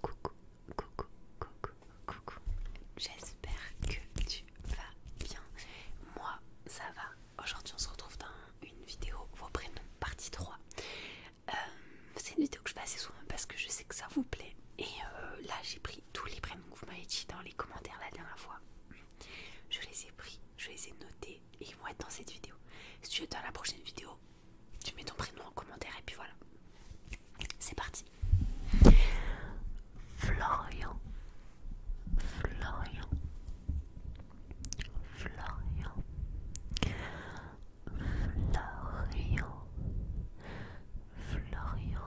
Coucou, coucou, coucou, coucou. J'espère que tu vas bien. Moi, ça va. Aujourd'hui, on se retrouve dans une vidéo Vos prénoms, partie 3. Euh, c'est une vidéo que je fais assez souvent parce que je sais que ça vous plaît. Et euh, là, j'ai pris tous les prénoms que vous m'avez dit dans les commentaires la dernière fois. Je les ai pris, je les ai notés et ils vont être dans cette vidéo. Si tu es dans la prochaine vidéo, tu mets ton prénom en commentaire et puis voilà. C'est parti. Florian. Florian. Florian. Florian. Florian.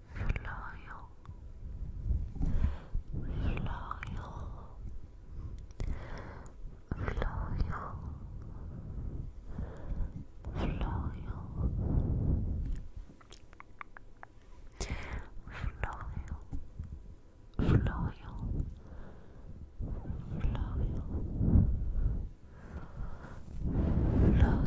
Slow. Slow. Slow. Slow. Flow, flow, flow, flow,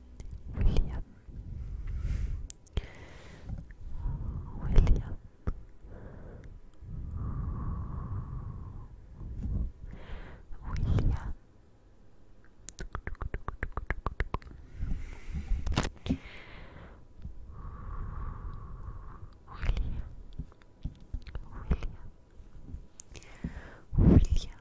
William William William William William William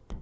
and, and, and,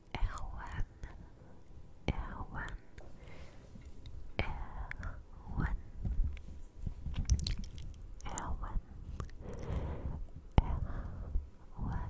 Erwan, Erwan, Erwan, Erwan, Erwan, Erwan, Erwan, Erwan,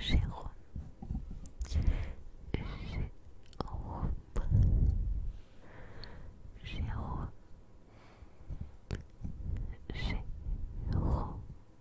Jérôme, Jérôme, Jérôme,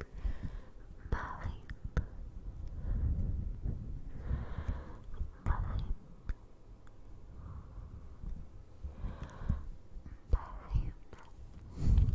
nine, nine, nine, nine. Marine, Marine, Marine,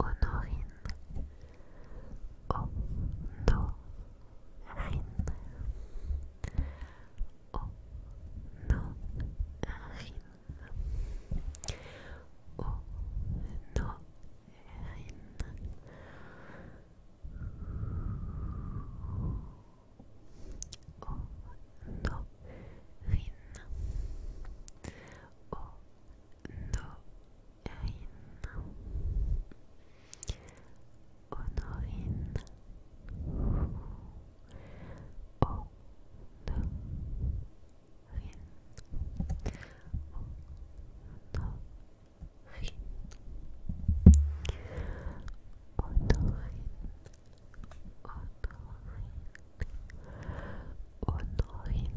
Honorine. Honorine. Honorine. Honorine. Honorine. Honorine. Ein Honorin Honorin, Honorin, Honorin,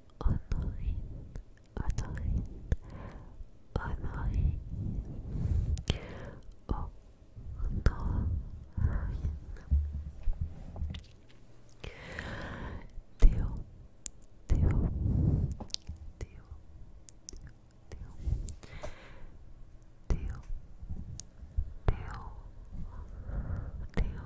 online, online, online. Oh, online. Teo, Teo, Teo, Teo, Teo, Teo,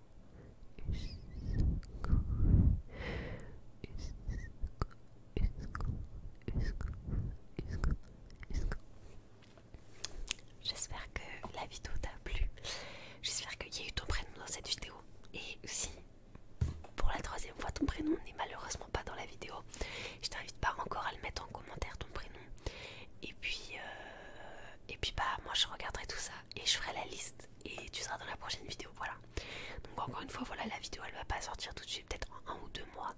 J'espère que la vidéo t'a plu. J'espère qu'il y a eu ton prénom dans cette vidéo. Et si pour la troisième fois ton prénom n'est malheureusement pas dans la vidéo, je t'invite pas encore à le mettre en commentaire ton prénom. Et puis, euh, euh, et puis bah moi je regarderai tout ça et je ferai la liste et tu seras dans la prochaine vidéo voilà donc encore une fois voilà la vidéo elle va pas sortir tout de suite peut-être en un ou deux mois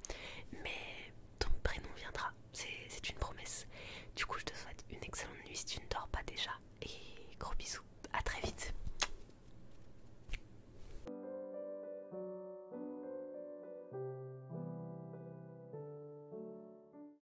mais ton prénom viendra c'est une promesse du coup je te souhaite une excellente nuit si tu ne dors pas déjà et gros bisous à très vite